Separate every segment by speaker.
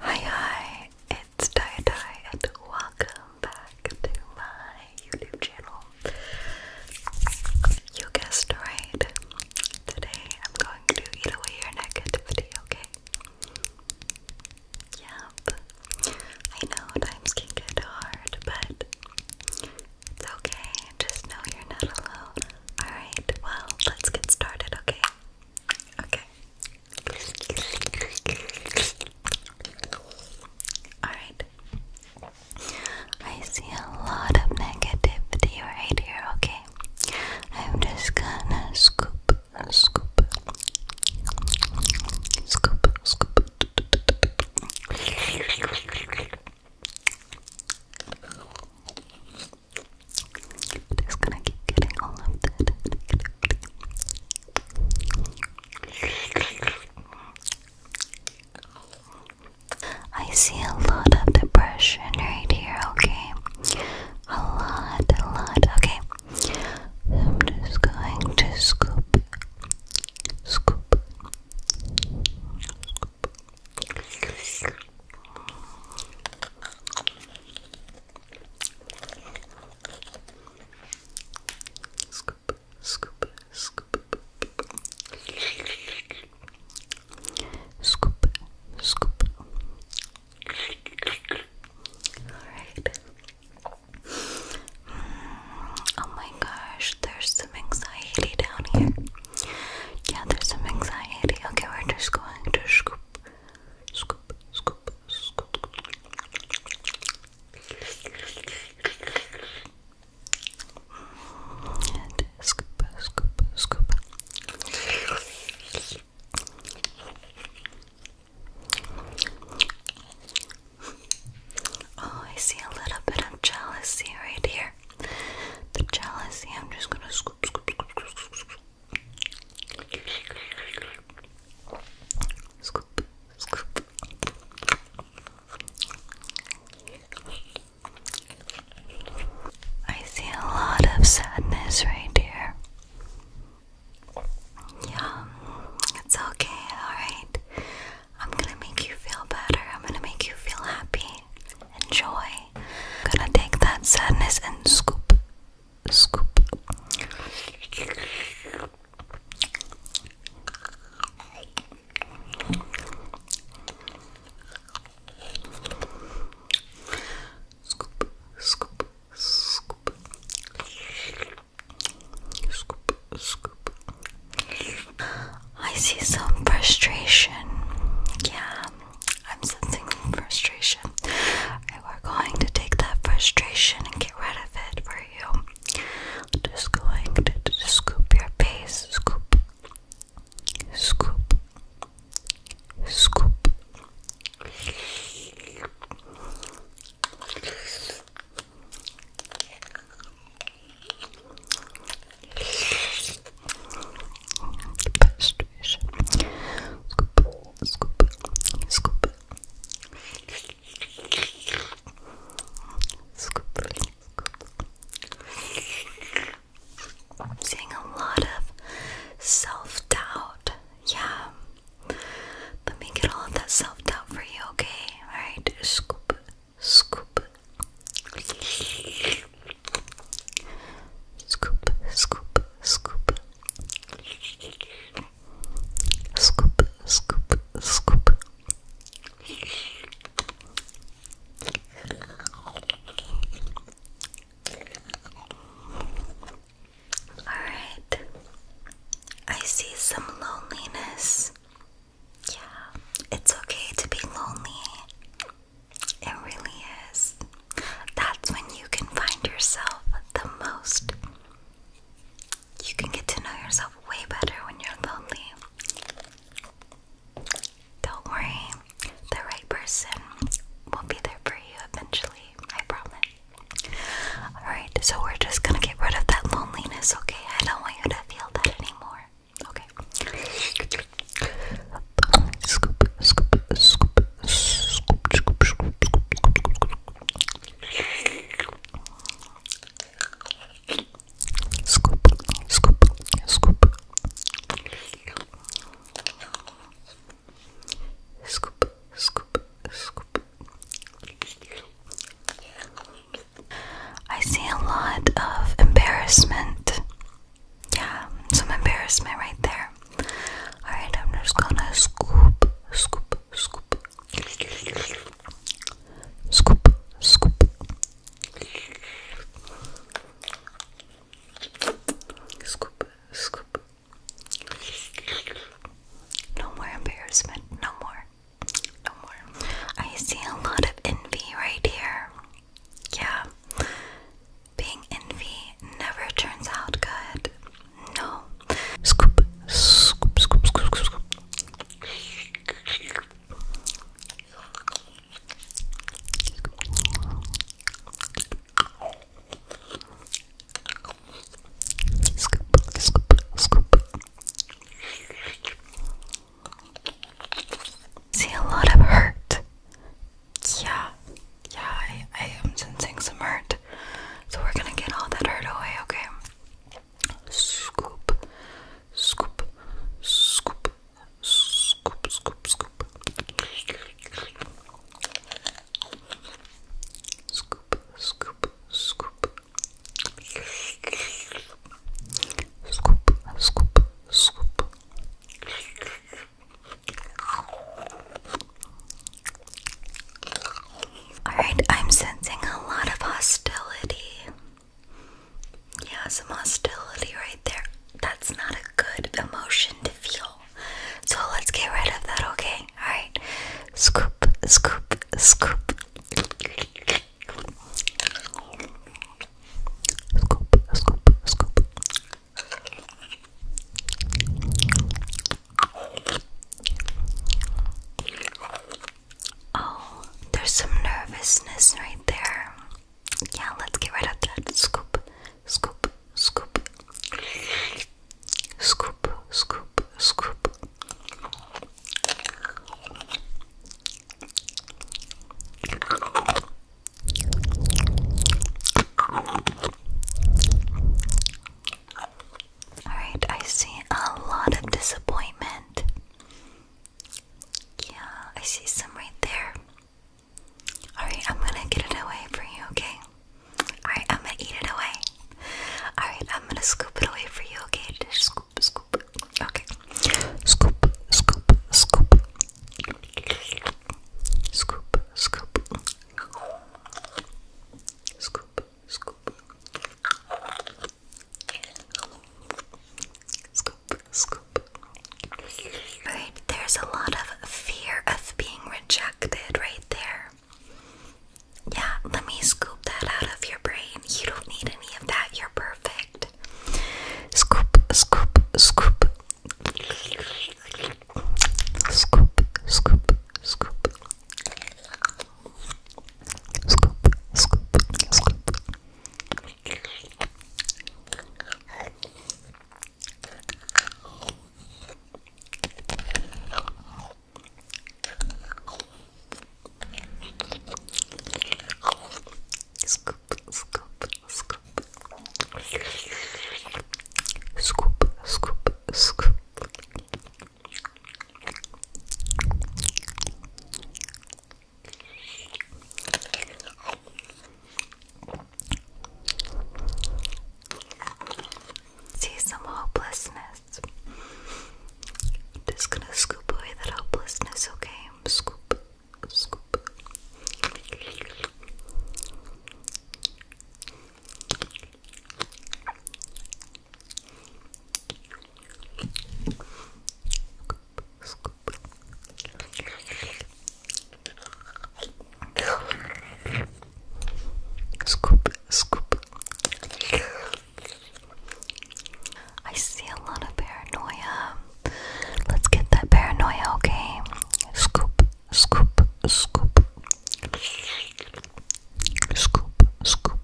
Speaker 1: Hi, hi, it's Tie and welcome back to my YouTube channel. You guessed right. Today I'm going to eat away your negativity, okay? Yep. I know times can get hard, but it's okay. Just know you're not alone. Alright, well, let's get started, okay? Okay, Alright. I see a lot of negativity right here, okay? I'm just gonna scoop, scoop, scoop, scoop. Just gonna keep getting all of that. I see a lot of depression right here, okay? A lot, a lot, okay. I'm just going to scoop, scoop. Scoop, scoop, scoop. Scoop, scoop. Alright. Mm, oh my gosh, there's some anxiety down here. Yeah, there's some anxiety. Okay, we're just going to scoop, Scoop, scoop, scoop. Oh, I see a little bit of jealousy right here. The jealousy, I'm just gonna scoop, scoop, scoop, scoop, scoop, scoop. Scoop, scoop. I see a lot of sadness right here. Yeah, it's okay, alright. I'm gonna make you feel better. I'm gonna make you feel happy enjoy. I'm gonna take that sadness and scoop, scoop. Scoop, scoop, scoop. Scoop, scoop. I see some frustration. Yeah, I'm sensing frustration. And we're going to take that frustration and get rid of it for you. Just going to scoop your face. Scoop. Scoop. Scoop. I'm seeing a lot of self-doubt. Yeah. Let me get all of that self-doubt for you, okay? Alright, scoop, scoop.
Speaker 2: Scoop, scoop, scoop. Scoop, scoop, scoop.
Speaker 1: Alright. I see some loneliness. Yeah, it's okay to be lonely. It really is. That's when you can find yourself the most. You can get to know yourself way better when you're lonely. Don't worry, the right person will be there for you eventually, I promise. Alright, so we're just gonna get rid of that loneliness, okay? I don't want you to feel that anymore. Okay. Scoop, scoop, scoop, scoop, scoop,
Speaker 2: scoop, scoop, scoop, scoop, scoop, scoop,
Speaker 1: scoop. I see a lot of embarrassment. Yeah, some embarrassment right there. Alright, I'm
Speaker 2: just gonna scoop, scoop, scoop. Scoop, scoop. Scoop, scoop. No more embarrassment. No more. No more. I see a lot of envy right here. Yeah, being envy never turns out
Speaker 1: good. No. scoop, scoop, scoop, scoop, scoop. Scoop, scoop, scoop. See a lot of hurt. Yeah, yeah, I, I am sensing some hurt. So we're gonna get all that hurt away, okay? Scoop, scoop, scoop, scoop, scoop, scoop.
Speaker 2: Scoop, scoop, scoop. Scoop, scoop, scoop.
Speaker 1: Alright, I'm sensing a lot of hostility. Yeah, some hostility right there. That's not a good emotion to feel. So let's get rid of that, okay? Alright. Scoop, scoop, scoop. Scoop, Oh, there's some nervousness right there. Yeah, let's get rid of that. Scoop, scoop, scoop. Scoop,
Speaker 2: scoop, scoop.
Speaker 1: Alright, I see a lot of disappointment. Yeah, I see some right there. Alright, I'm gonna get it away for you, okay? Alright, I'm gonna eat it away. Alright, I'm gonna scoop it away for you, okay? scoop, scoop. Okay. Scoop, scoop, scoop. Scoop, scoop. Scoop, scoop. Scoop, Right, there's a lot of fear of being rejected right there. Yeah, let me scoop that out of your brain. You don't need any of that. You're perfect. Scoop, scoop, scoop.
Speaker 2: Scoop, scoop, scoop. Scoop, scoop, scoop.
Speaker 1: Scoop, scoop, scoop. Scoop, scoop, scoop. See some hopelessness helplessness. i just gonna scoop away that hopelessness, okay? Scoop, scoop. Scoop, scoop, scoop, scoop, I see a lot of paranoia. Let's get that paranoia, okay? Scoop, scoop, scoop. Scoop, scoop, scoop.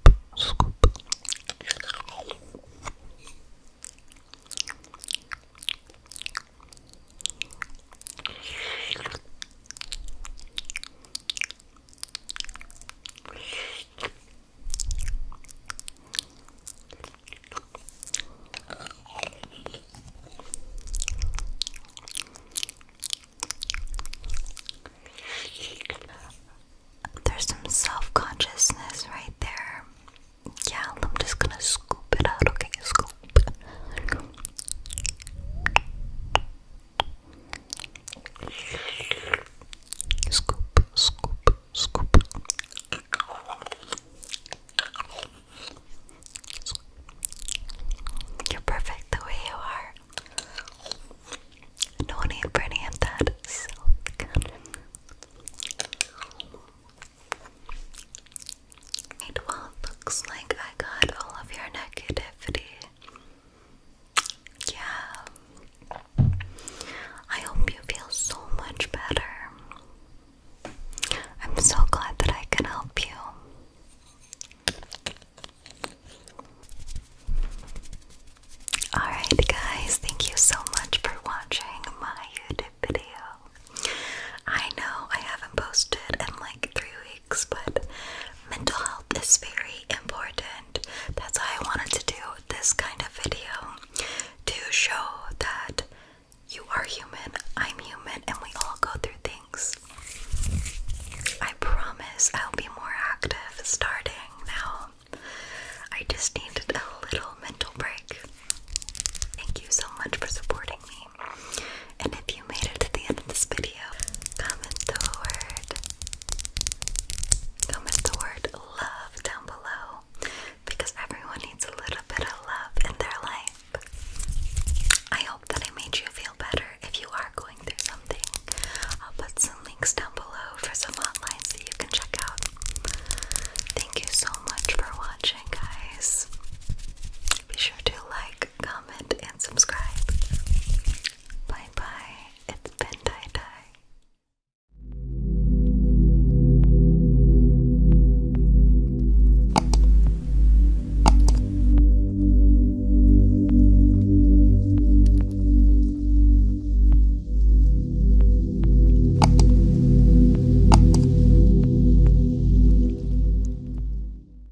Speaker 1: There's some self consciousness right there. Yeah, I'm just gonna scoop it out. Okay, scoop.
Speaker 2: Scoop, scoop, scoop. You're perfect the way you are. No need for any of that silk. well, it looks like I got
Speaker 1: all of your negativity yeah. I hope you feel so much better. I'm so glad that I can help you. Alright, guys, thank you so much for watching my YouTube video. I know I haven't posted in like three weeks, but mental health is very important. That's why I wanted to do this kind of video to show that you are human, I'm human, and we all go through things. I promise I'll be more active starting now. I just needed a little mental break. Thank you so much for supporting me. And if you made it to the end of this video, comment the word comment the word love down below because everyone needs a little bit of love in their life. I hope that I made you feel better if you are going through something. I'll put some links down below for some hotlines that you can check out. Thank you so much for watching, guys. Be sure to like, comment, and subscribe. Bye bye. It's been tie